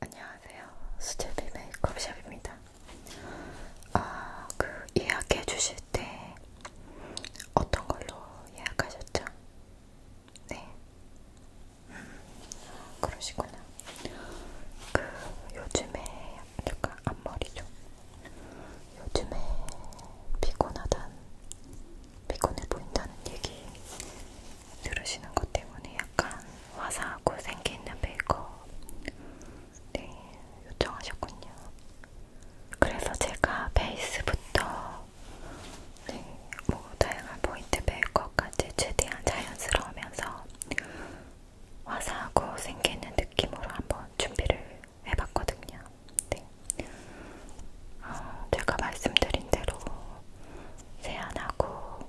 안녕하세요. 수제비 메이크업샵입니다. 아, 그 예약해 주실 때 어떤 걸로 예약하셨죠? 네. 음, 그러시구나. 그 요즘에 약간 앞머리 좀 요즘에 피곤하단, 피곤해 보인다는 얘기 들으시는 것 때문에 약간 화사하고 생기 있는 메이크업 네, 요청하셨군요. 그래서 제가 베이스부터 네, 뭐 다양한 포인트 메이크업까지 최대한 자연스러우면서 와사하고 생기는 느낌으로 한번 준비를 해봤거든요. 네. 어, 제가 말씀드린 대로 세안하고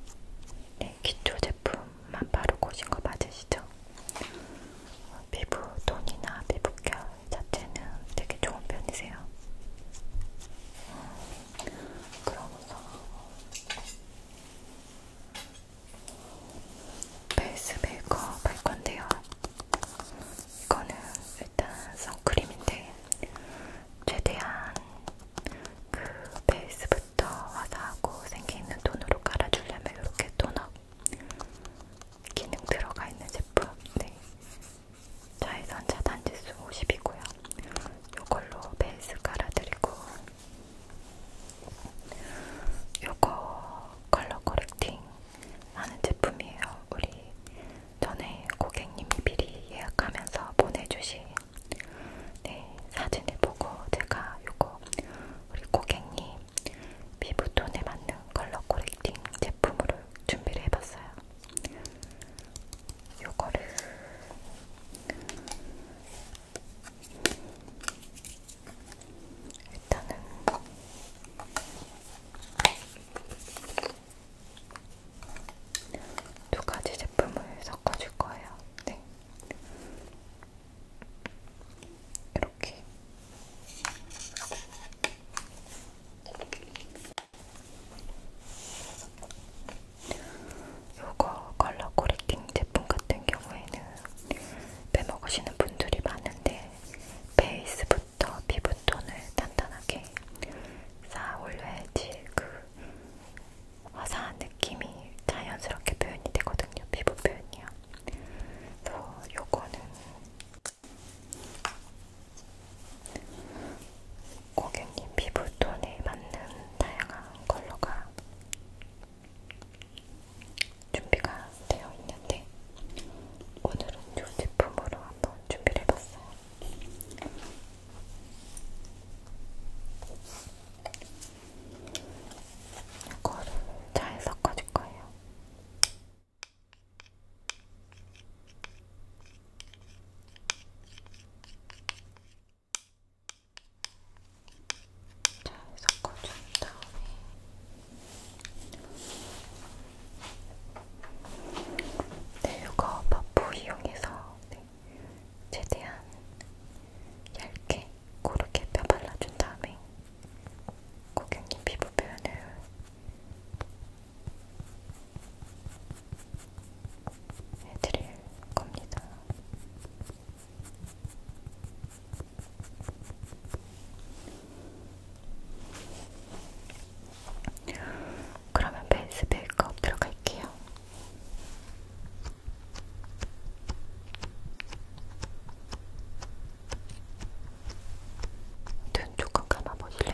네, 기초 제품만 바르고 오신 거 맞으시죠? 어, 피부 톤이나 피부결 자체는 되게 좋은 편이세요. 음, 어, 그러면서 베이스 메이크업 할 건데요. 이거는 일단 선크림인데 최대한 그 베이스부터 화사하고 생기있는 톤으로 깔아주려면 이렇게 톤업 기능 들어가 있는 제품. 네. 자외선 차단지수 50이고요. 이걸로 베이스 깔아드리고 요거 컬러 코렉팅 많은 제품이에요. 우리 전에 고객님이 미리 예약하면서 보내주신 네, 사진을 보고 제가 요거 우리 고객님 피부톤에 맞는 컬러 코렉팅 제품으로 준비를 해봤어요. 요거를 일단은 두 가지 제품을 섞어줄 거예요. 네. 이렇게. 요거 컬러 코렉팅 제품 같은 경우에는 빼먹으시는 분들이 많은데 베이스부터 피부톤을 단단하게 쌓아 올려야지 그 화사한 느낌이 자연스럽게 표현이 되거든요. 피부 표현이요. 그래서 요거는 고객님 피부톤에 맞는 다양한 컬러가 준비가 되어 있는데 오늘은 이 제품으로 한번 준비를 해봤어요. 이거를 잘 섞어줄 거예요. 이렇게 잘 섞어준 다음에 네유거 퍼프 이용해서 네, 최대한 얇게 고르게 펴 발라준 다음에 고객님 피부 표현을 해드릴 겁니다. 그러면 베이스 메이크업 들어갈게요. 눈 조금 감아보실래요?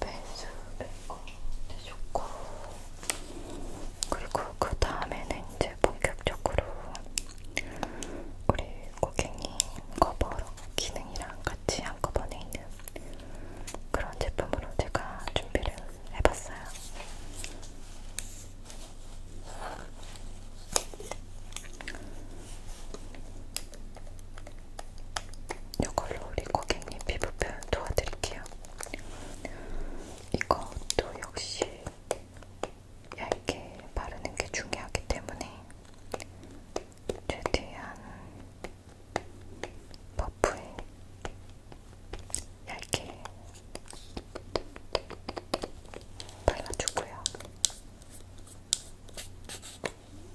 배수 빼고 해줬고 그리고 그 다음에는 이제 본격적으로 우리 고객님 커버로 기능이랑 같이 한꺼번에 있는 그런 제품으로 제가 준비를 해봤어요. 이걸로 우리 고객님 피부 표현 도와드릴게요. 이것도 역시 얇게 바르는 게 중요하기 때문에 최대한 퍼프에 얇게 발라주고요. 배구분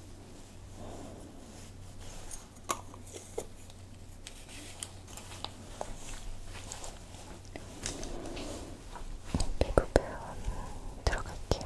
들어갈게요.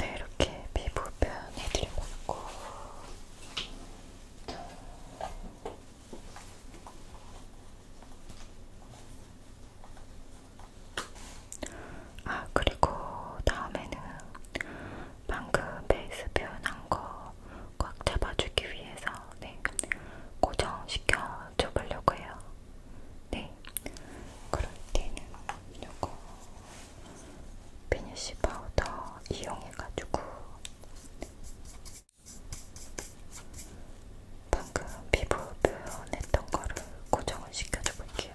네, 이렇게 피부 표현 해드려봤고 아, 그리고 다음에는 방금 베이스 표현한 거꽉 잡아주기 위해서 네, 고정시켜 줘보려고 해요. 네, 그럴 때는 요거 피니쉬 파우더 이용해가지고 방금 피부 표현했던 거를 고정을 시켜줘 볼게요.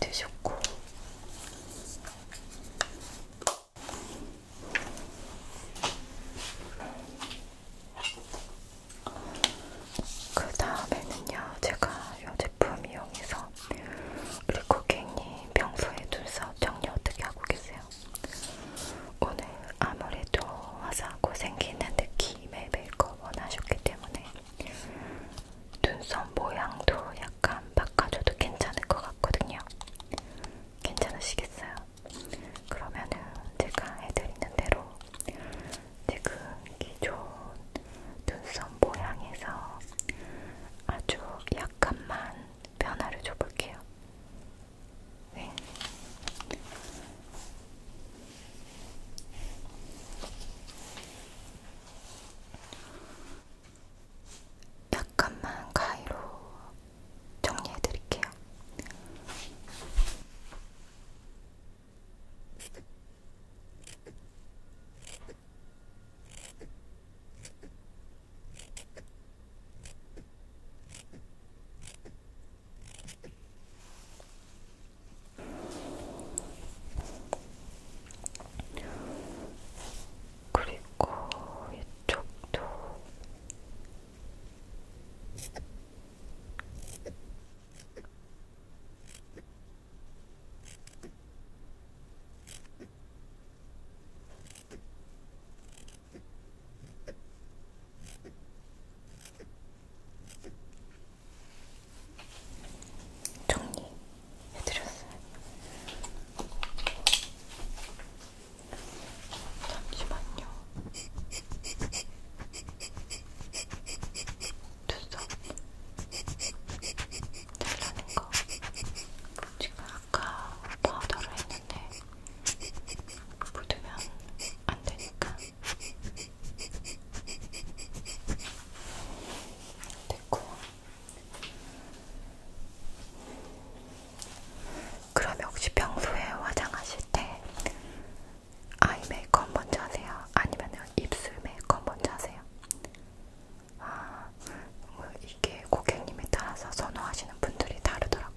드셨고 그 다음에는요 제가 요 제품 이용해서 우리 고객님 평소에 눈썹 정리 어떻게 하고 계세요? 오늘 아무래도 화사하고 생기는 느낌의 메이크업을 하셨기 때문에 눈썹 모양도 약간 바꿔줘도 괜찮을 것 같거든요. 괜찮으시겠어요? 그러면은 제가 해드리는 대로 지금 그 기존 눈썹 모양에서 아주 약간만 변화를 줘볼게요. 네. 약간만 가위로 정리해드릴게요. 그리고 이쪽도 정리해드렸어요. 잠시만요. 눈썹 잘라낸 거 지금 아까 파우더를 했는데 묻으면 안 되니까 됐고 그럼 혹시 평소에 화장하실 때 아이 메이크업 먼저 하세요? 아니면 입술 메이크업 먼저 하세요? 아, 뭐 이게 고객님에 따라서 선호하시는 분들이 다르더라고요.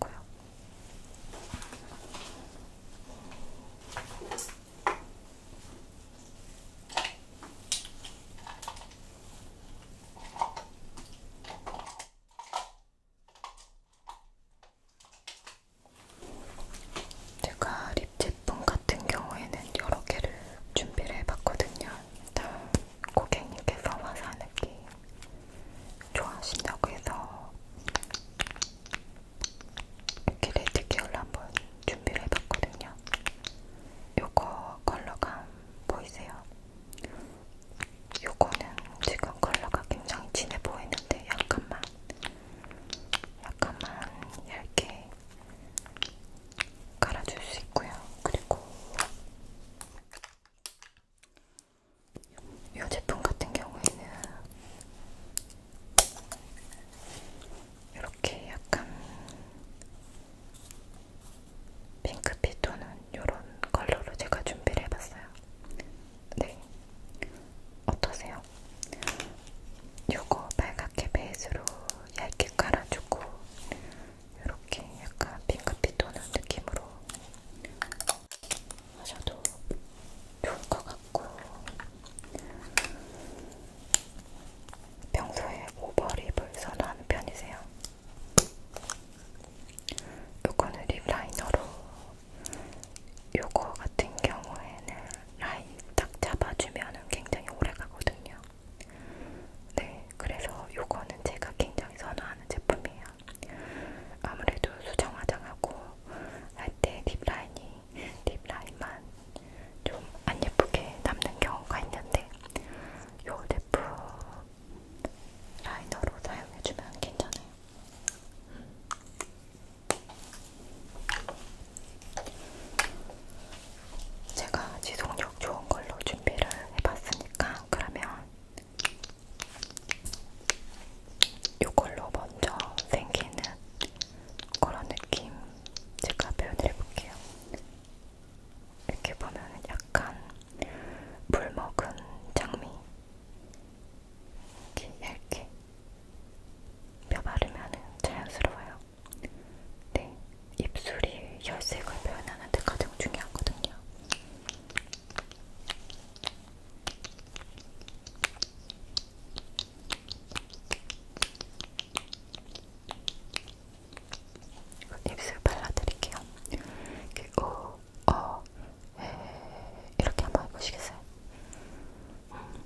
제가 립 제품 같은 경우에는 여러 개를 준비를 해봤거든요. 일단 고객님께서 화사 느낌 좋아하신다고 해서 이렇게 레드 계열로 한번 준비를 해봤거든요. 요거 컬러감 보이세요? 요거는 지금 컬러가 굉장히 진해 보이는데 약간만 약간만 얇게 갈아줄 수 있고요. 그리고 이 제품 같은 경우에는 이렇게 약간 핑크빛 또는 이런 컬러로 제가 준비를 해봤어요. 네, 어떠세요? 요거 빨갛게 베이스로 얇게 깔아주고 이렇게 약간 핑크빛 도는 느낌으로 하셔도 좋을 것 같고 평소에 오버립을 선호하는 편이세요? 요거는 립 라이너로 요거 같은 경우에는 라인 딱 잡아주면은 굉장히 오래 가거든요. 네, 그래서 요거는 제가 굉장히 선호하는 제품이에요. 아무래도 수정 화장하고 할 때 딥라인이 딥라인만 좀 안 예쁘게 남는 경우가 있는데 요 제품 라이너로 사용해주면 괜찮아요. 음. 제가 지속력 좋은 걸로 준비를 해봤으니까 그러면 이걸로 먼저 생기는 그런 느낌 제가 표현을 해볼게요. 이렇게 보면 약간 물 먹은 장미 이렇게 얇게 뼈 바르면 자연스러워요. 네, 입술이 혈색을 표현하는데 가장 중요하거든요. 입술 발라드릴게요. 이렇게 오, 어, 에, 네, 이렇게 한번 해보시겠어요? 음.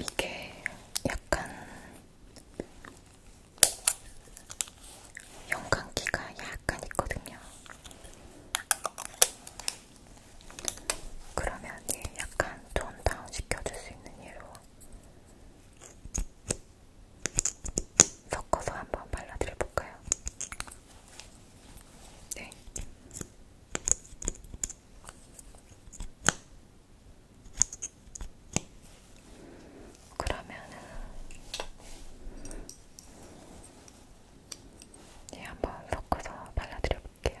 이게 약간 영광기가 약간 있거든요. 그러면 얘 약간 톤 다운 시켜줄 수 있는 예로 섞어서 한번 발라드려 볼까요? 네. 그러면은 네, 한번 섞어서 발라드려 볼게요.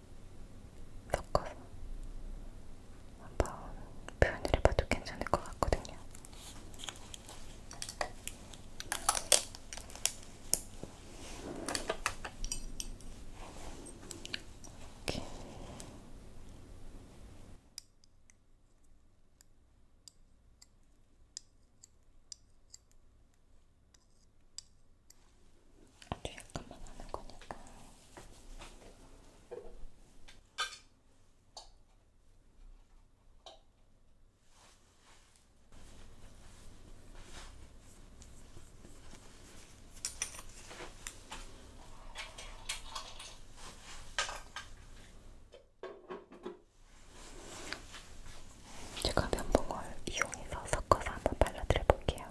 섞어서 한번 표현을 해봐도 괜찮을 것 같거든요. 이렇게. 이렇게 아주 약간만 하는 거니까. 제가 면봉을 이용해서 섞어서 한번 발라드려 볼게요.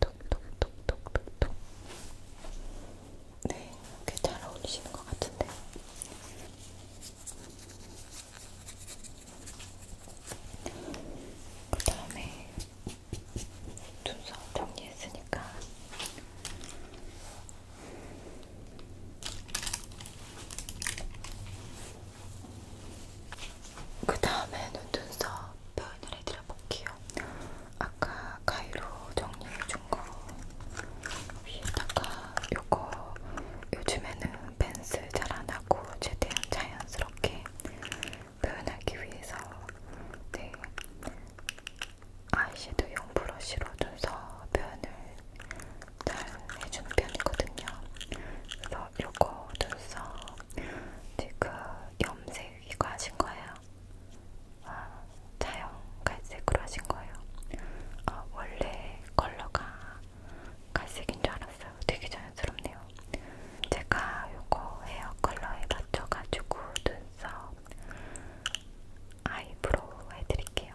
톡톡톡톡톡톡. 네, 꽤 잘 어울리시는 것 같은데. 그 다음에 눈썹 정리했으니까. 그 다음에 눈썹 표현을 해드려볼게요. 아까 가위로 정리해준 거 위에다가 요거 요즘에는 펜슬 잘 안하고 최대한 자연스럽게 표현하기 위해서 네 아이섀도용 브러쉬로 눈썹 표현을 잘 해주는 편이거든요. 그래서 요거 눈썹 지금 염색 이거 하신 거예요? 아, 자연 갈색으로 하신 거예요? 아, 원래 컬러가 갈색인 줄 알았어요. 되게 자연스럽네요. 제가 요거 헤어 컬러에 맞춰가지고 눈썹 아이브로우 해드릴게요.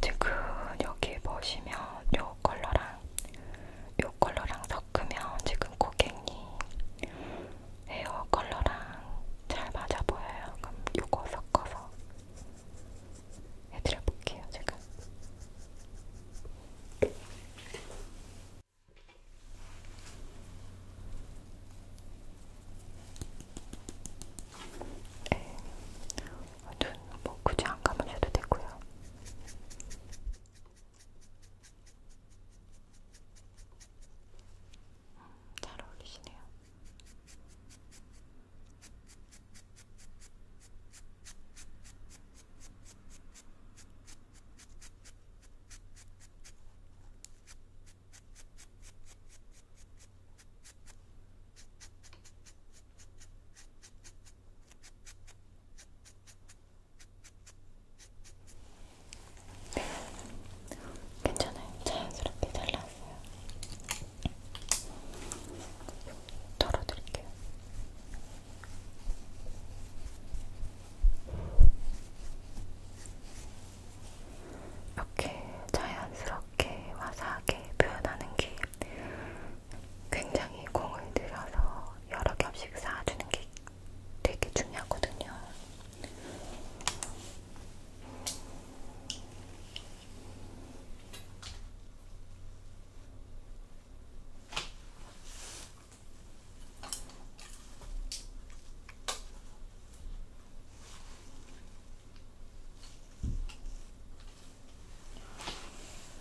지금 여기 보시면 요 컬러랑 요 컬러랑 섞으면 지금 고객님 헤어 컬러랑 잘 맞아 보여요. 그럼 요거 섞어서 해드려 볼게요, 제가. 네. 어, 눈뭐 굳이 안 감으셔도 되고요. 음, 잘 어울리시네요. 괜찮아요. 자연스럽게 잘랐어요. 털어드릴게요. 이렇게 자연스럽게 와사하게 표현하는 게 굉장히 공을 들여서 여러 겹씩 쌓아주는 게 되게 중요하거든요.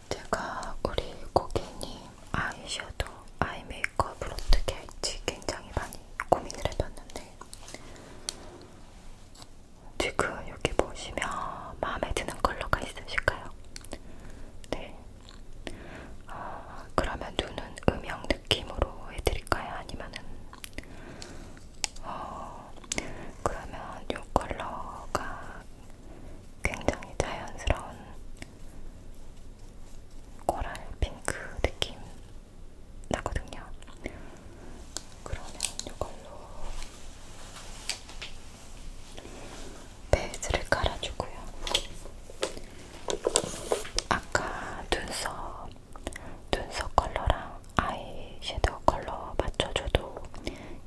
제가 우리 고객님 아이섀도 아이 메이크업을 어떻게 할지 굉장히 많이 고민을 해봤는데 지금 여기 보시면 마음에 드는 컬러가 있으실까요? 네, 아, 그러면 눈은 음영 느낌으로 해드릴까요? 아니면은 어, 그러면 이 컬러가 굉장히 자연스러운 코랄 핑크 느낌 나거든요. 그러면 이걸로 베이스를 깔아주고요. 아까 눈썹, 눈썹 컬러랑 아이섀도우 컬러 맞춰줘도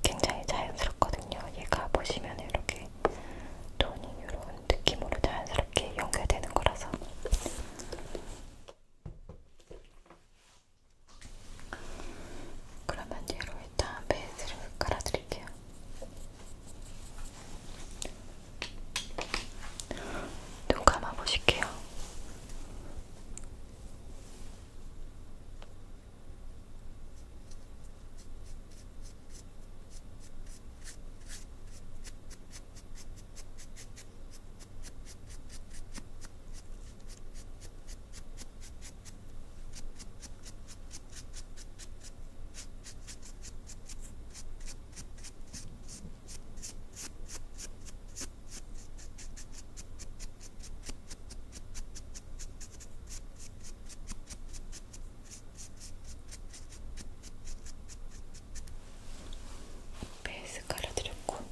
굉장히 자연스럽거든요. 얘가 보시면 이렇게 톤이 이런 느낌으로 자연스럽게 연결되는 거라서. 그러면 얘로 일단 베이스를 깔아드릴게요. 눈 감아보실게요. 베이스 깔아드렸고 그리고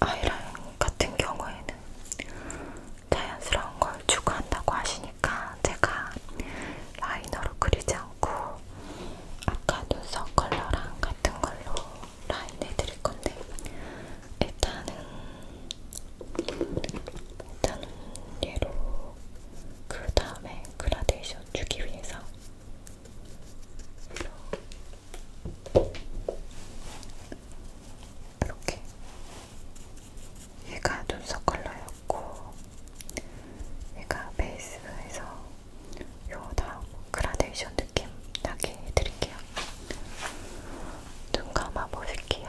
아이라인 같은 경우에는 자연스러운 걸 추구한다고 하시니까 제가 라이너로 그리지 않고 아까 눈썹 컬러랑 같은 걸로 라인 해드릴 건데 일단은 일단은 얘로 그 다음에 그라데이션 주기 위해서 이렇게 얘가 눈썹 컬러였고 얘가 베이스에서 요 다음 그라데이션 느낌 나게 해드릴게요. 눈 감아 보실게요.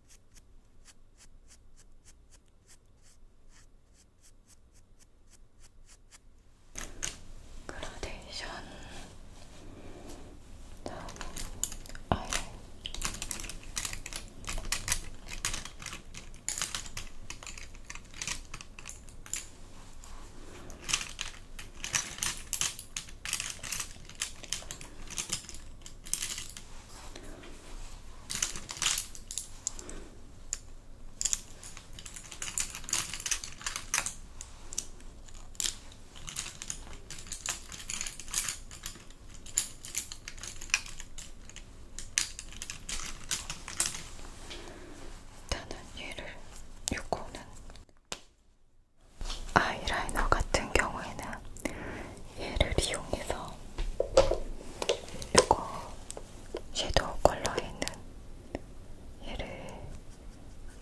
グラデーションア 일단은 얘를 요거는 아이라이너 같은 경우에는 얘를 이용해서 이거 섀도우 컬러에 있는 얘를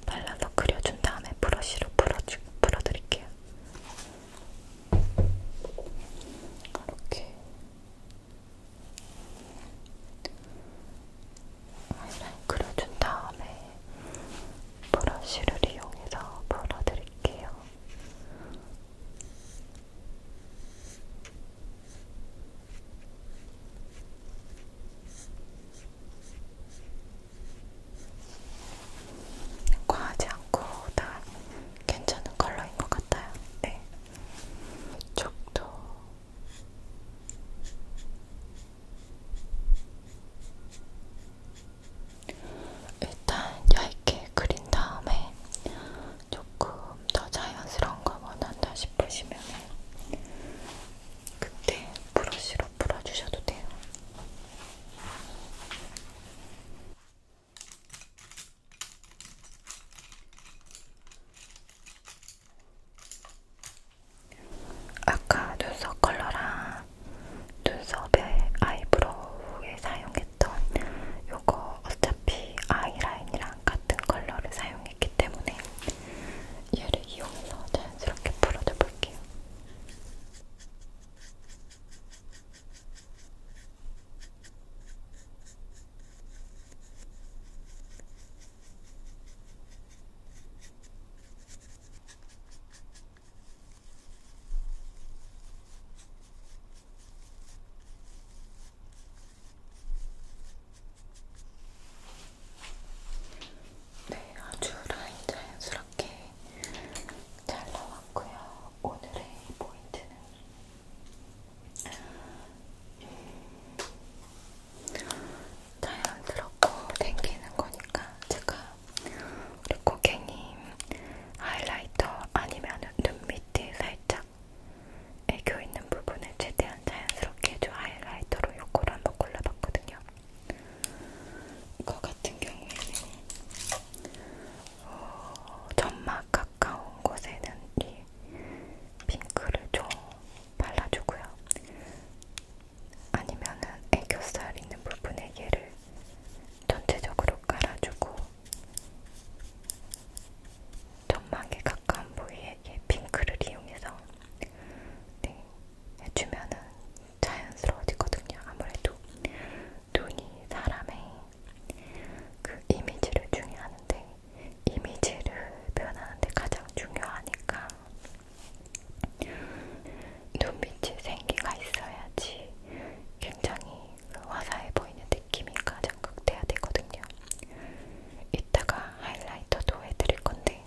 발라서 그려준 다음에 브러쉬로 풀어주, 풀어드릴게요. 이렇게 아이라인 그려준 다음에 브러쉬를 이용해서 풀어드릴게요. 과하지 않고 다 괜찮은 컬러인 것 같아요. 네. 이쪽도 일단 얇게 그린 다음에 조금 더 자연스러운 걸 원한다 싶으시면 그때 브러쉬로 풀어주셔도 돼요. 아까 눈썹 컬러랑 눈썹에 아이브로우에 사용했던 요거 어차피 아이라인이랑 같은 컬러를 사용했기 때문에 얘를 이용해서 자연스럽게 풀어줘 볼게요. 네, 아주 라인 자연스럽게 잘 나왔고요. 오늘의 포인트는 예, 자연스럽고 당기는 거니까 제가 우리 고객님 하이라이터 아니면 눈 밑에 살짝 애교 있는 부분을 최대한 자연스럽게 해줘 하이라이터로 요거를 한번 골라봤거든요. 이거 같은 경우에는 어, 점막 가까운 곳에는 이 핑크를 좀 발라주고요. 아니면은 애교살 있는 부분에 얘를 전체적으로 깔아주고 점막에 가까운 부위에 핑크를 이용해서 네, 해주면은 자연스러워지거든요. 아무래도 눈이 사람의 그 이미지를 중요하는데 이미지를 표현하는데 가장 중요하니까 눈빛에 생기가 있어야지 굉장히 그 화사해 보이는 느낌이 가장 극대화 되거든요. 이따가 하이라이터도 해드릴 건데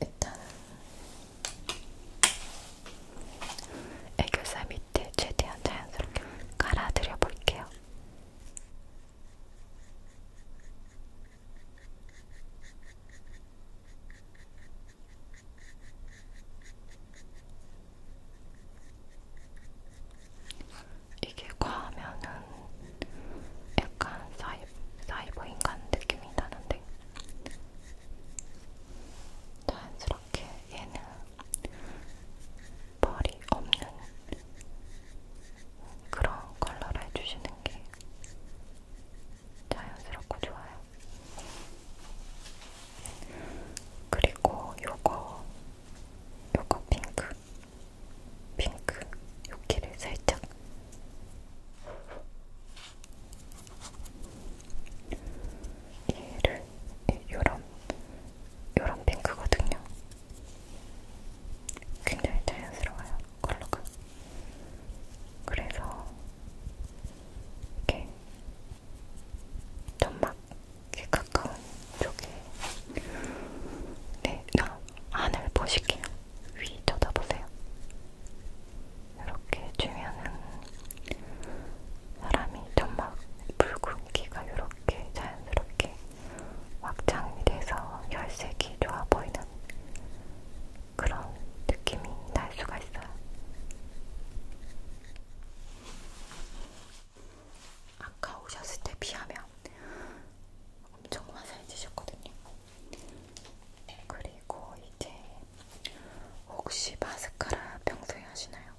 일단 애교살 밑에 최대한 자연스럽게 깔아드려 볼게요. 이게 과하면은 약간 사이, 사이버 인간 느낌이 나는데 자연스럽게 얘는 벌이 없는 그런 컬러를 해주시는 게 자연스럽고 좋아요. 그리고 요거 요거 핑크 핑크 요기를 살짝 얘를 예, 요런 요런 핑크거든요. 굉장히 자연스러워요 컬러가. 그래서 이렇게 점막 귀 가까운 쪽에 네, 나 안을 보실게요. 위 쳐다보세요. 이렇게 주면은 사람이 점막 붉은기가 이렇게 자연스럽게 확장이 돼서 혈색이 좋아 보이는 그런 느낌이 날 수가 있어요. 아까 오셨을 때 비하면 엄청 화사해지셨거든요. 그리고 이제 혹시 마스카라 평소에 하시나요?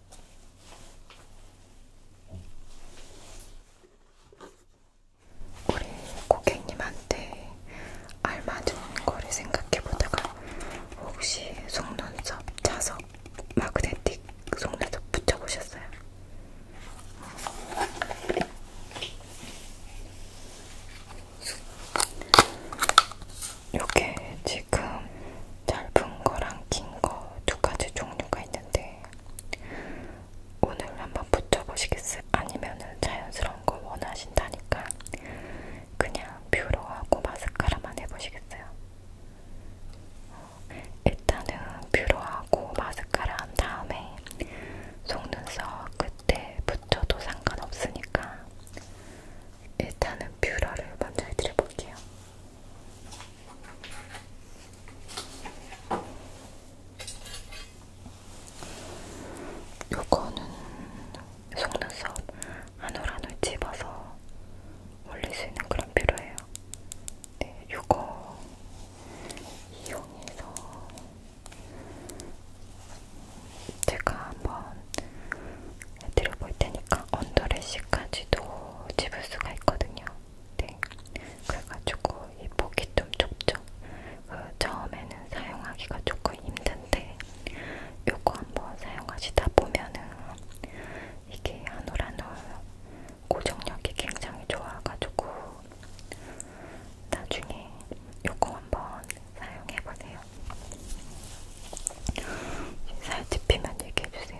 우리 고객님한테 알맞은 거를 생각해보다가 혹시 속눈썹 자석 마그네틱 속눈썹 붙여보셨어요? 이게 지금 짧은 거랑 긴 거 두 가지 종류가 있는데 오늘 한번 붙여보시겠어요? 아니면 자연스러운 거 원하신다니까 그냥 뷰러하고 마스카라만 해보시겠어요? 일단은 뷰러하고 마스카라 한 다음에 속눈썹 끝에 붙여도 상관없으니까 일단은 뷰러를 먼저 해드려볼게요. 요거는 속눈썹 한올한올 집어서 올릴 수 있는 그런 뷰러예요. 네, 요거 이용해서 제가 한번 해드려볼 테니까 언더래쉬까지도 집을 수가 있거든요. 네, 그래가지고 이 폭이 좀 좁죠. 그 처음에는 사용하기가 조금 힘든데 요거 한번 사용하시다 보면은 이게 한 올 한 올 고정력이 굉장히 좋아가지고 나중에 요거 한번 사용해보세요. 살 찝히면 얘기해주세요.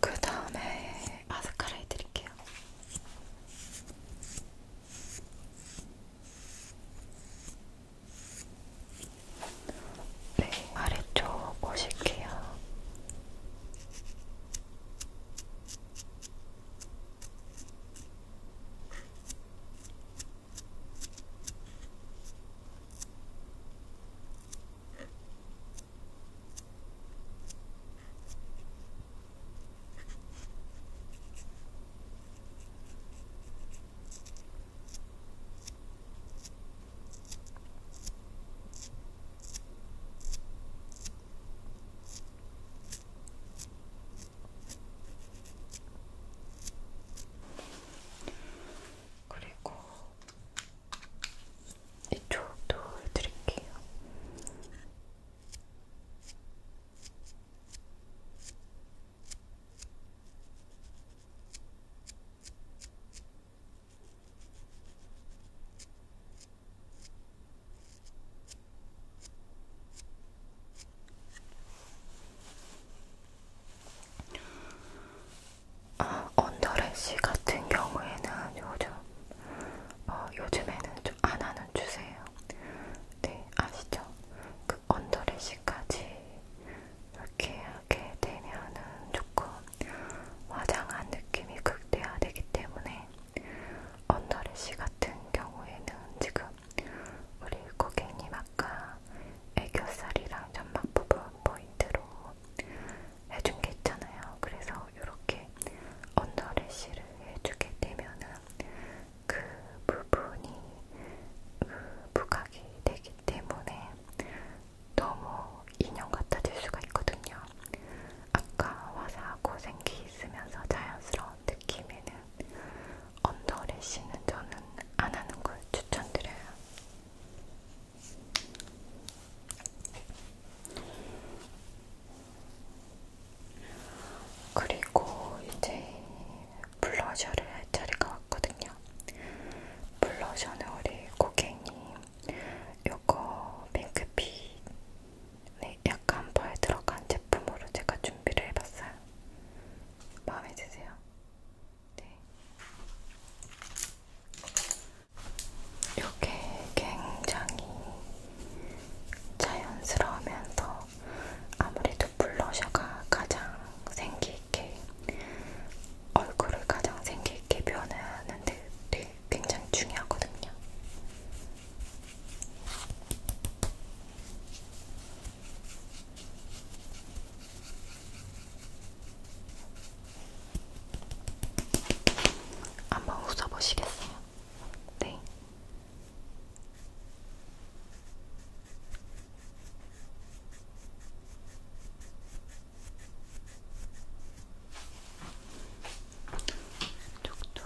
그 다음에 마스카라 해드릴게요. 네, 아래쪽 보실게요. 그리고 이쪽도 해드릴게요. 어, 아, 언더래쉬 같은 경우에는 요즘 어, 요즘에는 좀 안 하는 추세예요. 네, 아시죠? 그 언더래쉬까지 이렇게 하게 되면은 조금 화장한 느낌이 극대화되기 때문에 언더래쉬 같은 경우에는 지금 우리 고객님 아까 애교살이랑 점막 부분 포인트로 해준 게 있잖아요. 그래서 이렇게 언더래쉬를 해주게 되면은 그 부분이 부각이 되기 때문에 너무 인형 같아질 수가 있거든요. 아까 화사하고 생기 있으면서 자연스러운 느낌에는 언더래쉬는 저는 안 하는 걸 추천드려요. 그리고 이제 블러셔를 할 자리가 왔거든요. 블러셔는 우리 고객님 요거 핑크빛 네, 약간 펄 들어간 제품으로 제가 준비를 해봤어요. 마음에 드세요? 네. 요게 굉장히 자연스러우면서 아무래도 블러셔가 가장 생기있게 얼굴을 가장 생기있게 표현하는데 되게 굉장히 중요하거든요. 한번 웃어보시겠어요? 네. 쪽도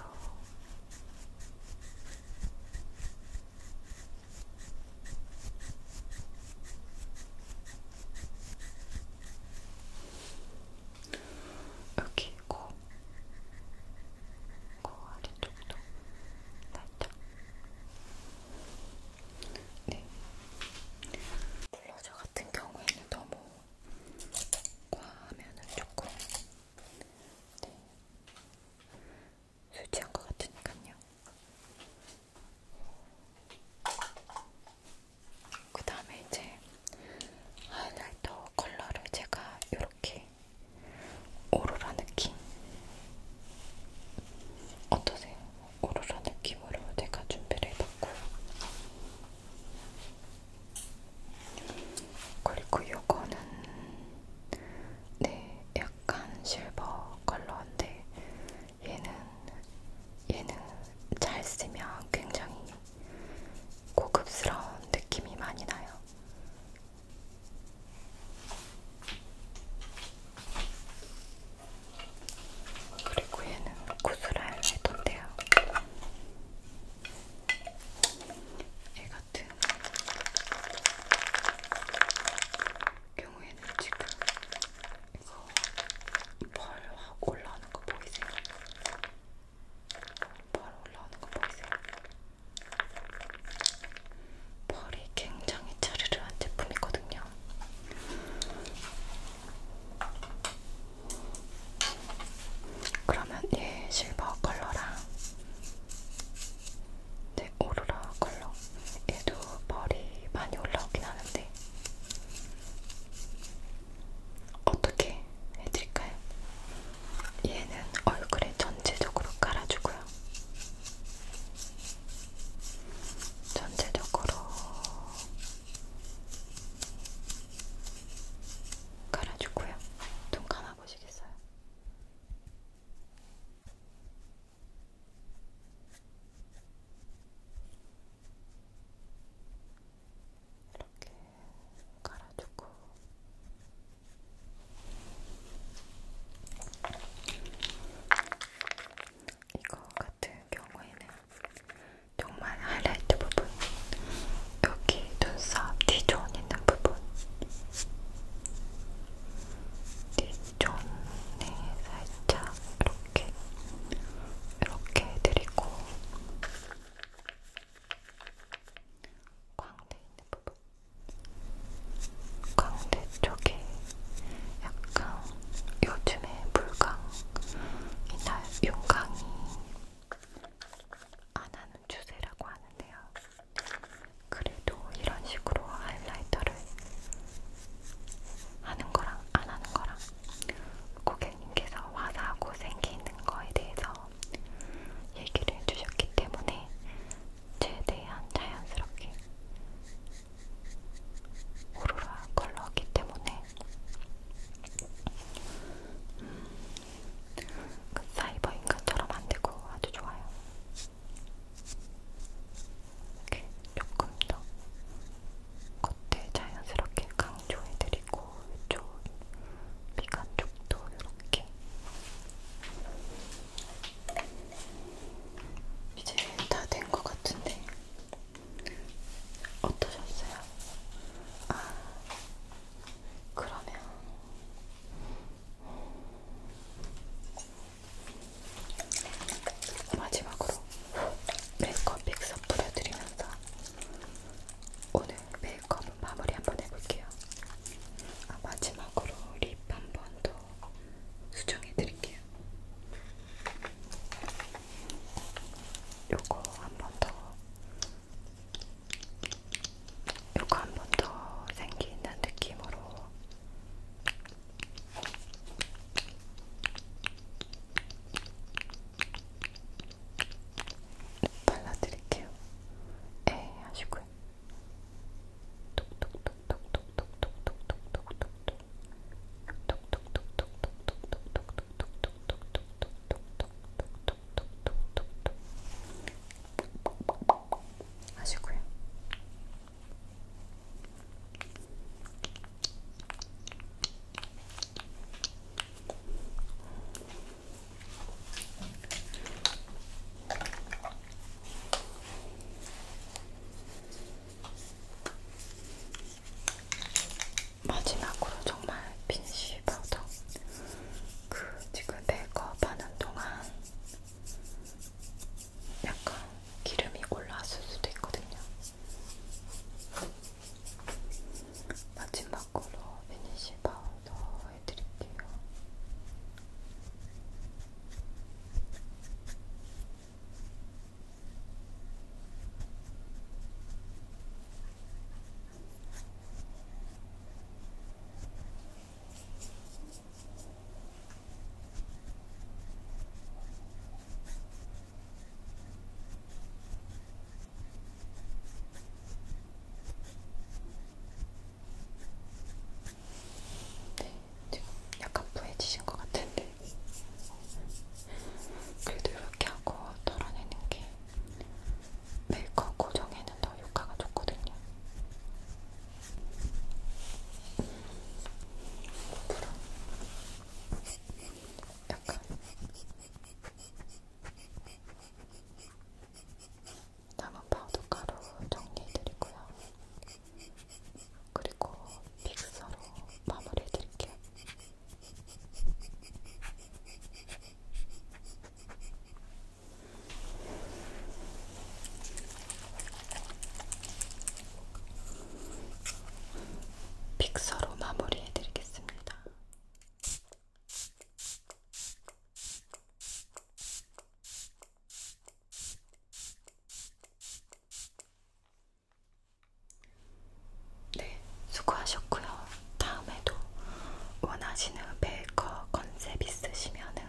여기 고그 아래쪽도 살짝 네 블러셔 같은 경우에는 너무 과하면은 조금 네 수지한 것 같으니까요. 그 다음에 이제 하이라이터 컬러를 제가 이렇게 되게 오로라 느낌? 어떠세요? 오로라 느낌으로 제가 준비를 해봤고요. 그리고 요거는 네, 약간 실버 컬러인데 얘는 얘는 잘 쓰면 굉장히 고급스러운 느낌이 많이 나요. 그리고 얘는 구슬알 해던데요. 얘 같은 경우에는 지금 이거 벌확 올라오는 거 보이세요? 벌 올라오는 거 보이세요? 벌이 굉장히 차르르한 제품이거든요. 그러면 얘 실버 컬러랑 네, 오로라 컬러 얘도 벌이 많이 올라오긴 하는데 어떻게 해드릴까요? 얘는 얼굴에 전체적으로 깔아주고요. 전체적으로 깔아주고요. 눈 감아보시겠어요? 이렇게 깔아주고 이거 같은 경우에는 정말 하이라이트 부분, 여기 눈썹 D존 있는 부분, D존에 살짝 이렇게, 이렇게 해드리고, 광대 있는 부분. 광대 쪽에 약간 요즘에 불강이나 용강이 안 하는 추세라고 하는데요. 그래도 이런 식으로 하이라이터를 하는 거랑 안 하는 거랑 고객님께서 와사하고 생기 있는 거에 대해서 얘기를 해주셨기 때문에 최대한 자연스럽게 오로라 컬러기 때문에 음, 그 사이버 인간처럼 안되고 아주 좋아요. 이렇게 조금 더 겉에 자연스럽게 강조해드리고 이쪽 미간 쪽도 이렇게 이제 다 된 것 같은데 어떠셨어요? 아 그러면 마지막으로 메이크업 픽서 뿌려드리면서 오늘 메 메이크업은 마무리 한번 해볼게요. 아, 마지막으로 립한번더 수정해드릴게요. 요거 한번더 요거 한번더 생기 있는 느낌으로 발라드릴게요. 에 하시고요. 하시고요. 마지막으로 정말 빈쉬 파우더 그 지금 메이크업 하는 동안 약간 기름이 올라왔을 수도 있거든요. 마지막 바꾸로 피니쉬 파운더 해드릴게요. 네, 지금 약간 부해지신 것 같은데 그래도 이렇게 하고 털어내는 게 메이크업 고정에는 더 효과가 좋거든요. 앞으로 약간 남은 파우더 가루 정리해드리고요. 그리고 픽서로 마무리해드릴게요. 픽서로 마무리해드리겠습니다. 네, 수고하셨고요. 다음에도 원하시는 메이커 컨셉 있으시면은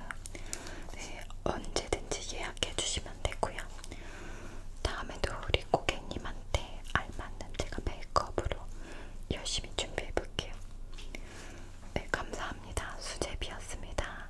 네, 언제든지 예약해 주시면 되고요. 다음에도 우리 고객님한테 알맞는 제가 메이크업으로 열심히 준비해 볼게요. 네, 감사합니다. 수제비였습니다.